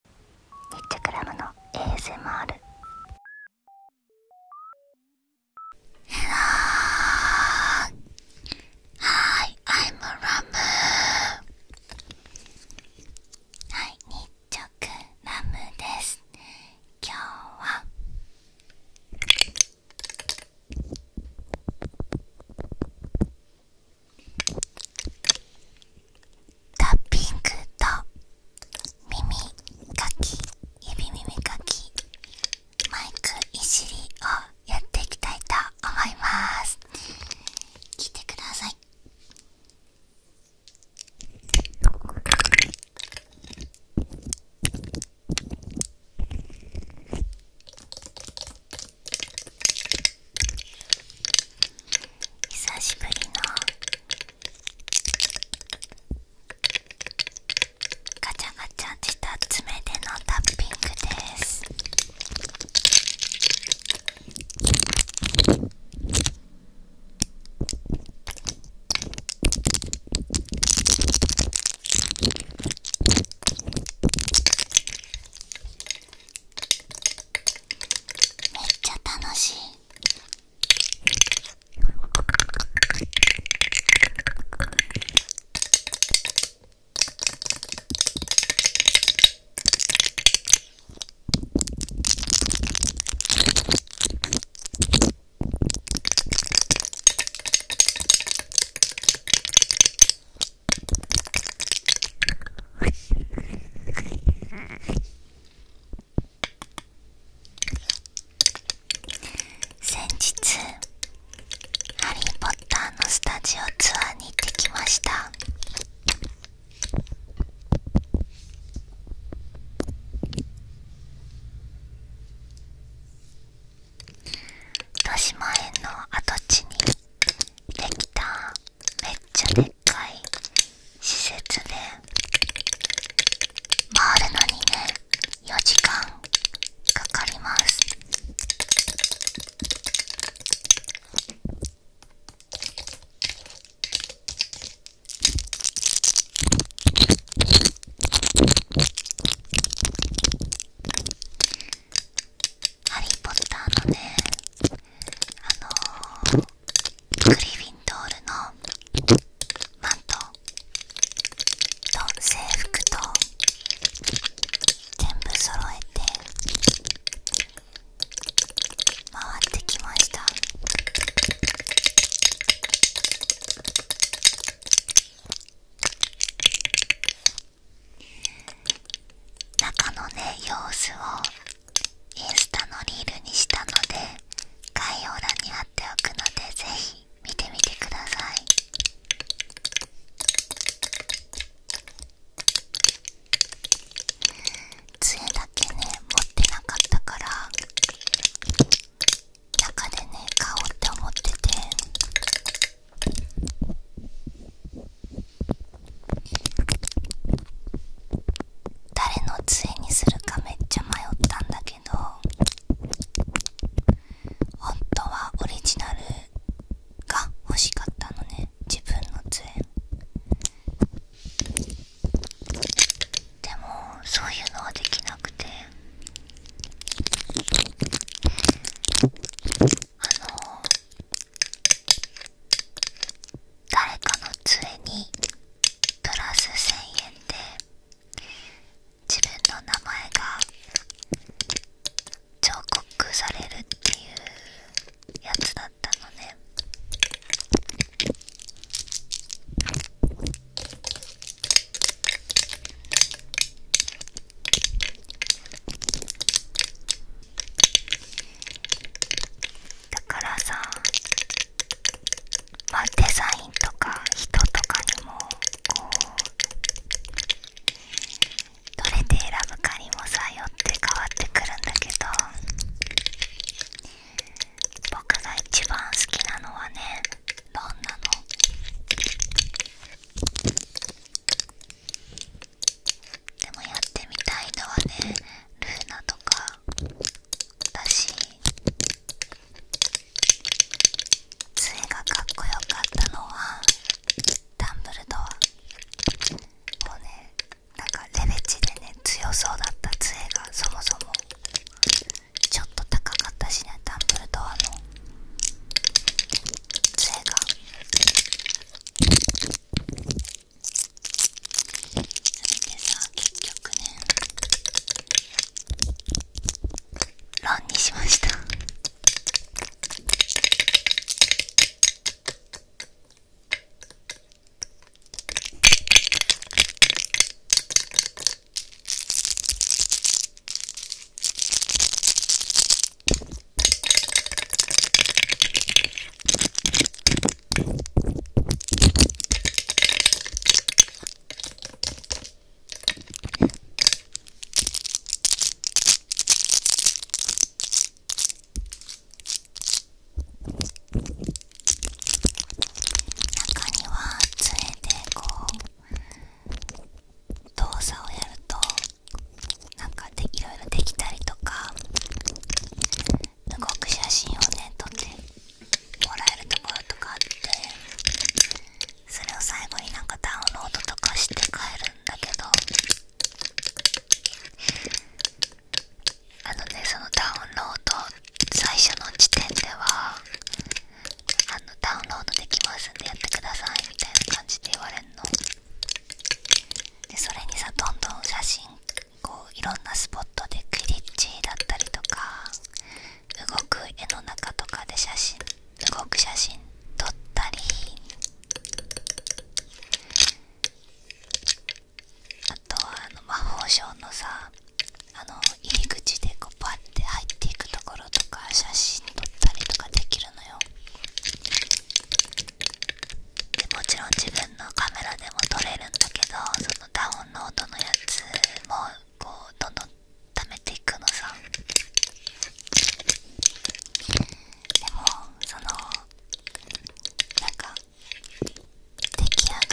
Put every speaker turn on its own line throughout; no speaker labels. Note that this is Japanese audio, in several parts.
日直ラムの ASMR ヘロー Hi, I'm r a はい、日直ラムです今日はタッピングと耳かき指耳かきマイクいじりをやっていきたいと思います聞いてください「久しぶりのガチャガチャした爪でのタッピングですめっちゃ楽しい先日「ハリー・ポッター」のスタジオツアーに行ってきました豊島園の跡地にできためっちゃでっかい施設で回るのにね4時間かかりますハリー・ポッターのねあのクグリフィンドールのマントと制服と全部揃えて回ってきました中のね様子をインスタのリールにしたので概要欄に貼っておくのでぜひ見てみてください杖だけね持ってなかったから中でね買おうって思ってて。誰の杖にするかめっちゃ迷ったんだけど本当はオリジナルが欲しかったのね自分の杖でもそういうのはできなくてあの誰かの杖にプラス1000円で自分の名前が彫刻されるっていうやつだったのねだからさまデザインとか人とかにもこうどれで選ぶかにもさよって変わってくるんだけど僕が一番好きなのはねどんなのでもやってみたいのはねルーナとかだし杖がかっこよかったのはダンブルドアもうねなんかレベチでね強そうだった杖がそもそもちょっと高かったしねダンブルドアの杖がそでさ結局ねランにしました中には杖でこう動作をやるとなんかでいろいろできたりとかすごく写真をね撮ってもらえるところとかあってそれを最後になんかダウンロードとかして帰るんだけどあのねそのダウンロード最初の時点ではあのダウンロードできますんでやってくださいみたいな感じで言われるのでそれにさどんどん写真こういろんなスポットでクリッチだったりとか動く絵の中とかで写真動く写真撮ったりあとはあの魔法省のさあの入り口でこうパッて入っていくところとか写真撮ったりとかできるのよもちろん自分のカメラでも撮れるんだけどそのダウンロードのやつもこうどんどん貯めていくのさでもそのなんか出来上がっ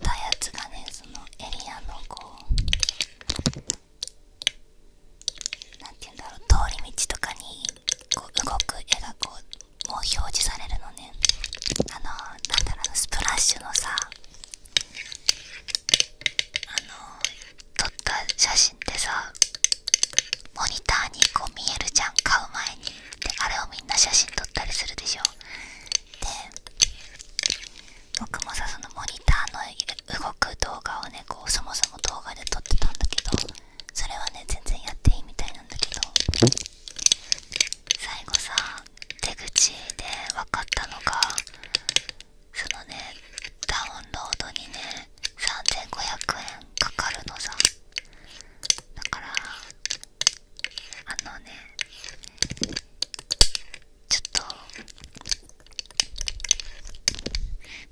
たやつがねそのエリアのこう何て言うんだろう通り道とかにこう動く絵がこうもう表示されるのねあのー、なんだろうスプラッシュのさあの撮った写真ってさモニターにこう見えるじゃん買う前にであれをみんな写真撮ったりするでしょで僕もさそのモニターの動く動画をねこうそもそも動画で撮ってたんだけどそれはね全然やっていいみたいなんだけど最後さ出口で分かったのがそのねダウンロードにね3500円かかるのさだからあのねちょっと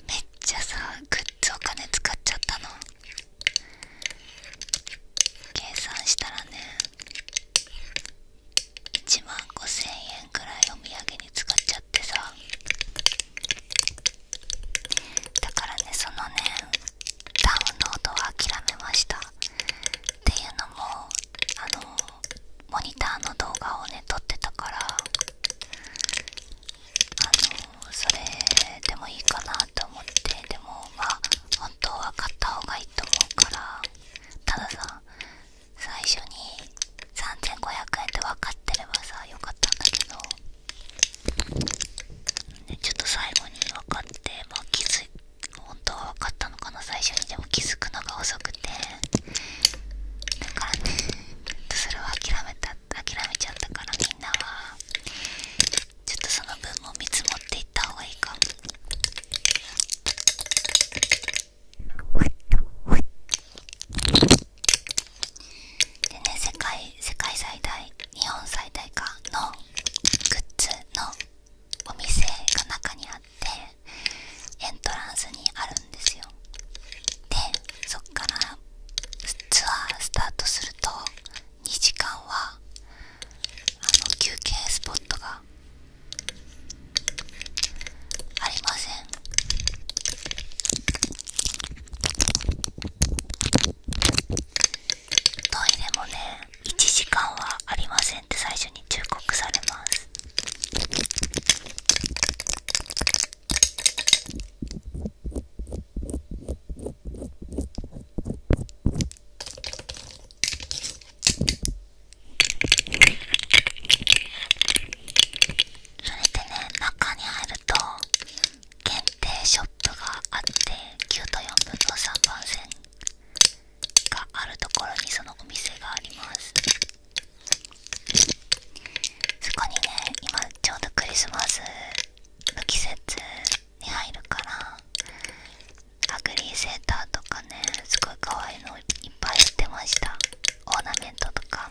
めっじゃさグッズお金使っちゃったの計算したらね1万5000円くらいお土産に使っちゃってさだからねそのねダウンロードは諦めましたっていうのもあのモニターの動画をね撮ってたからあのそれでもいいかなと思ってでもまあ本当は買った方がいいと思うからたださ最初に3500円で分かってればさよかったんだけど、ね、ちょっと最後に分かってまあ気づい本当は分かったのかな最初にでも気づくのが遅くてだからねそれは諦めた諦めちゃったからみんなはちょっとその分も見積もっていった方がいいかも。でね世界世界最大日本最大かのグッズのお店が中にあってエントランスにあるんですよでそっからツアースタートすると2時間はあの休憩スポットがありませんトイレもね1時間はありませんって最初に忠告されますそれでね中に入ると限定ショップがあって9と4分の3番線があるところにそのお店があります。そこにね今ちょうどクリスマスの季節に入るからアグリーセーターとかねすごい可愛いのいっぱい売ってましたオーナメントとか。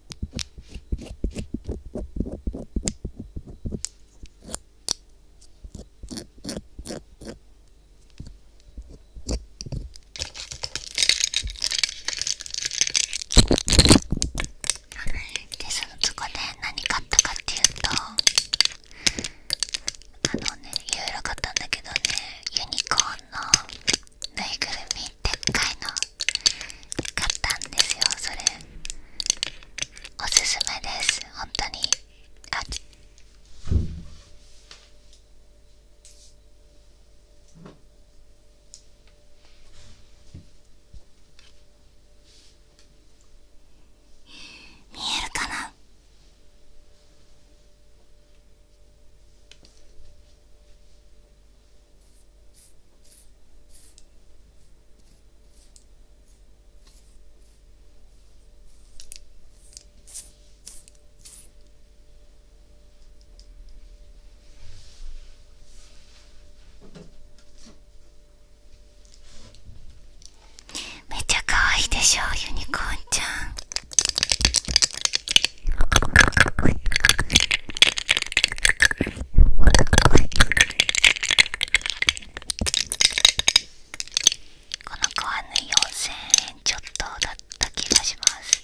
でそのそこで何買ったかっていうとあのねいろいろ買ったんだけどねユニコーンのぬいぐるみでっかいの買ったんですよそれおすすめです本当にあっ見えるかなめちゃ可愛いでしょう、ユニコーンちゃんこの子はね4000円ちょっとだった気がします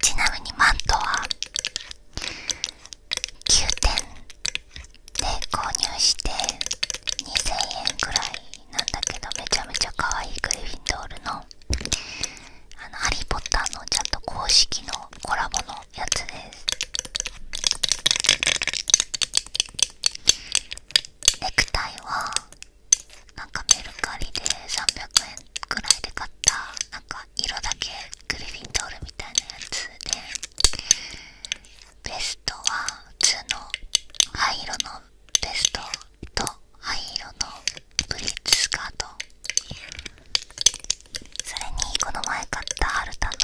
ちなみにマントは9点で購入して2000円ぐらいなんだけどめちゃめちゃ可愛いグリフィンドールの「あのハリー・ポッター」のちゃんと公式のコラボのやつですネクタイはなんかメルカリで300円くらいで買ったなんか色だけグリフィンドールみたいなやつでベストは普通の灰色のベストと灰色のブリッジスカートそれにこの前買った春田の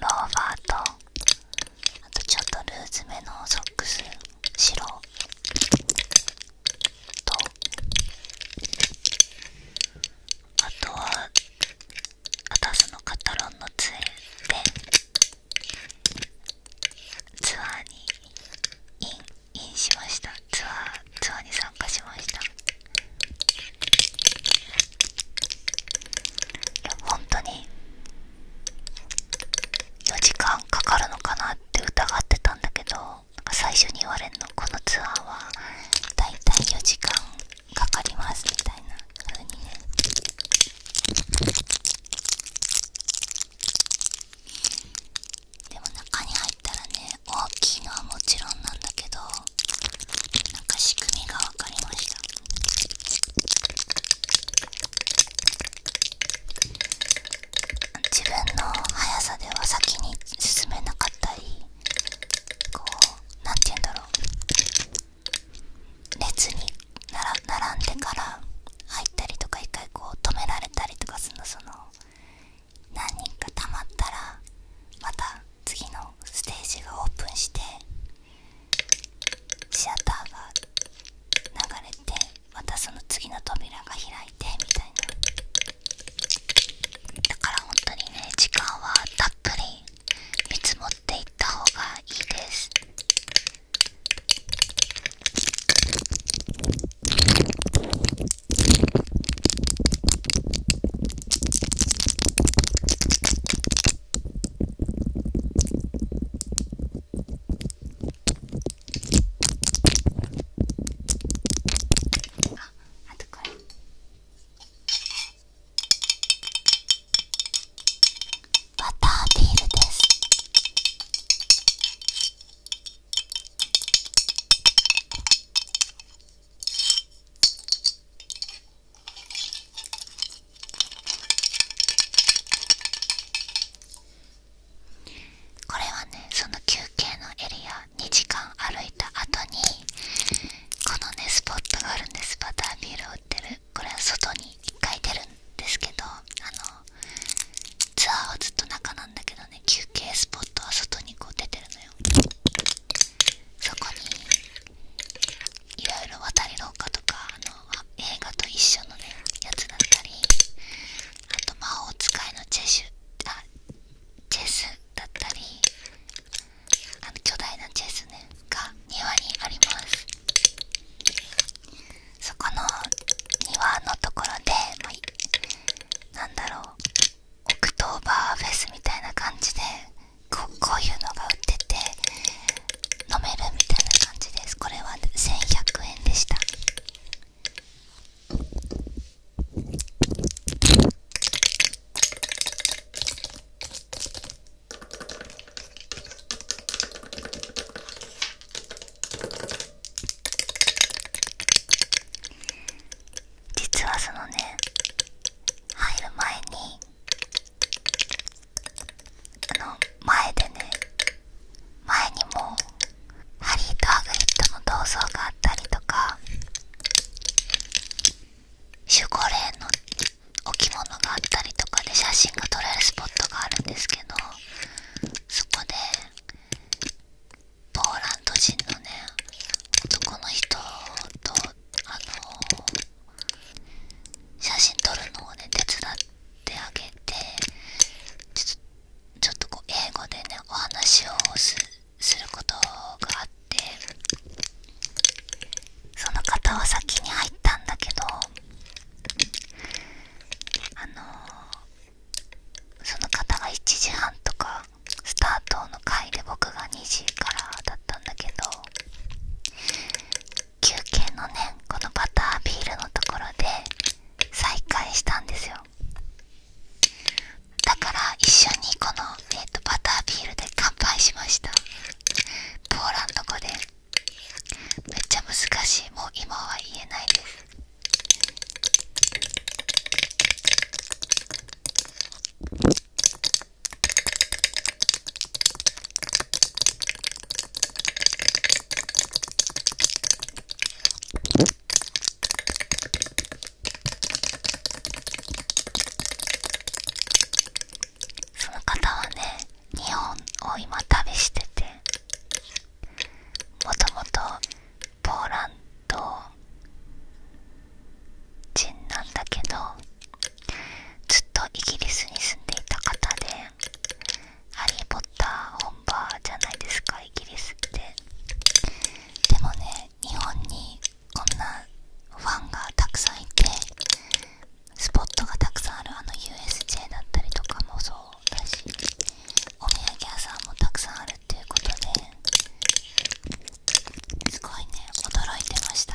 ローバーとあとちょっとルーズめのソックス白とあとはアタスのカタロンの杖でツアーにインインしましたツアーツアーに参加しましたいや本当に4時間かかるのかなって疑ってたんだけどなんか最初に言われるのこのツアーはだいたい4時間かかりますみたいな風にねでも中に入ったらね大きいのはもちろんなんだけどなんか仕組みが分かりました自分の速さでは先に進めなかったりこうなんて言うんだろう列に並んでから入ったりとか一回こう止められたりとかするのその何人かたまったらまた次のステージがオープンしてシアターが流れてまたその次の扉が開いてみたいなだから本当にね時間はたっぷり見積もっていった方がいいですあとこれ。バタービールですこれはねその休憩のエリア2時間歩いた後にこのねスポットがあるんですバタービールをてるこれは外に1回出るんですけどあのツアーはずっと中なんだけどね休憩スポットは外にこう出てるのよそこにいろいろ渡り廊下とかあの映画と一緒のねやつだったりあと魔法使いのチェシュあチェスだったりあの巨大なチェスねが庭にありますそこの庭のところで、まなんだろうオクトーバーフェスみたいな感じでこうこういうのが売ってて飲めるみたいな感じですこれは1100円でした実はそのね入る前にあの前でね前にもハリーとアグリッドの銅像があったりとか守護霊の置物があったりとかで写真が撮れるスポットがあるんですけどそこでポーランド人のね男の人とあの写真撮るのをね手伝ってあげてちょっとこう英語でねお話をすることがあっっその方は先に入ったんだけどあのその方が1時半とかスタートの回で僕が2時からだったんだけど休憩のねこのバタービールのところで再開したんですよだから一緒にこのえっとバタービールで乾杯しましたポーランド語でめっちゃ難しいもう今は言えないですその方はね日本を今旅しててもともとポーランド人なんだけどずっとイギリスに住んでいた方で「ハリー・ポッター」本場じゃないですかイギリスってでもね日本にこんなファンがたくさんいてスポットがたくさんあるあの USJ だったりとかもそうだしお土産屋さんもたくさんあるっていうことですごいね驚いてました。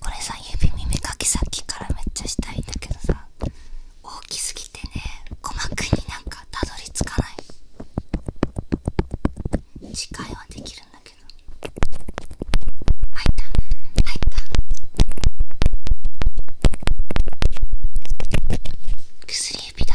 これさ指耳かきさっきからめっちゃしたいんだけどさ大きすぎてね鼓膜になんかたどり着かない次回はできるんだけど開いた開いた薬指だ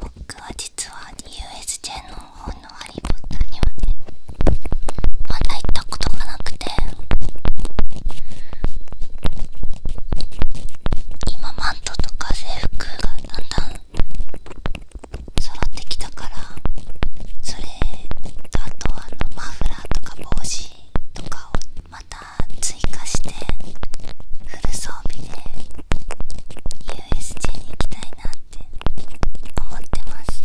僕は実は USJ の方のハリー・ポッターにはねまだ行ったことがなくて今マントとか制服がだんだん揃ってきたからそれと、あとあのマフラーとか帽子とかをまた追加してフル装備で USJ に行きたいなって思ってます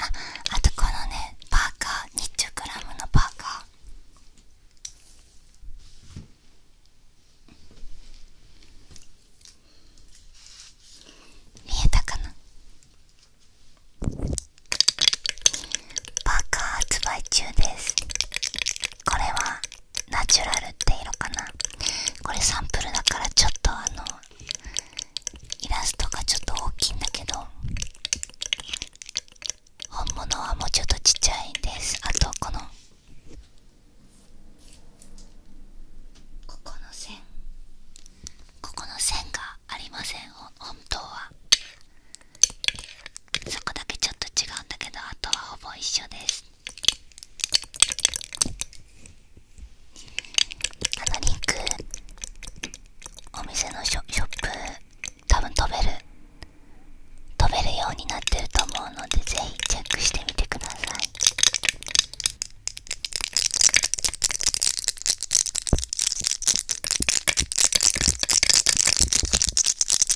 ああとこのねパーカーニッチョクラムのパーカー見えたかなパーカー発売中ですこれはナチュラルって色かなこれサンプルだからちょっとあのイラストがちょっと大きいんだけど本物はもうちょっとちっちゃいですあとこのここの線ここの線がありません本当はそこだけちょっと違うんだけどあとはほぼ一緒ですあのリンクお店のショショップ多分飛べる飛べるようになってると思うのでぜひチェックしてみてください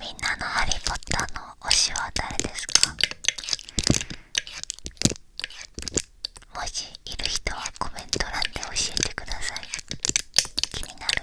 みんなのハリー・ポッターの推しは誰ですかもしいる人はコメント欄で教えてください。気になる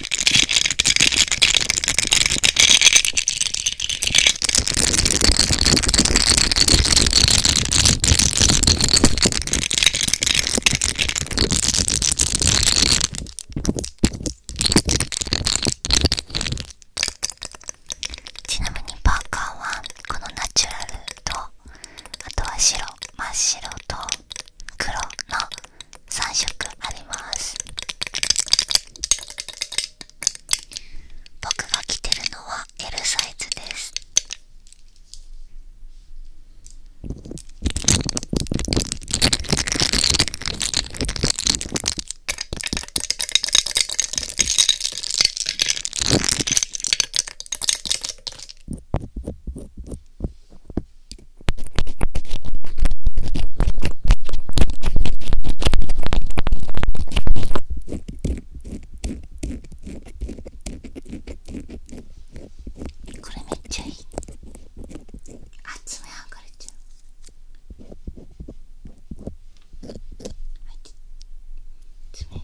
ちなみにパーカーはこのナチュラルとあとは白真っ白と黒の3色あります僕が着てるのは L サイズですこれめっちゃいいあめはがれちゃうはい爪が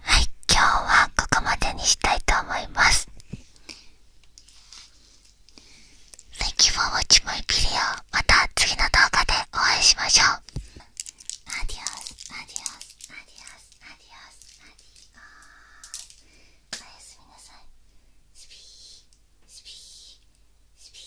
はい今日はここまでにしたいと思います Thank you for watching my video また次の動画でお会いしましょうアディオスアディオスアディオスアディオスアディオスおやすみなさいスピースピースピー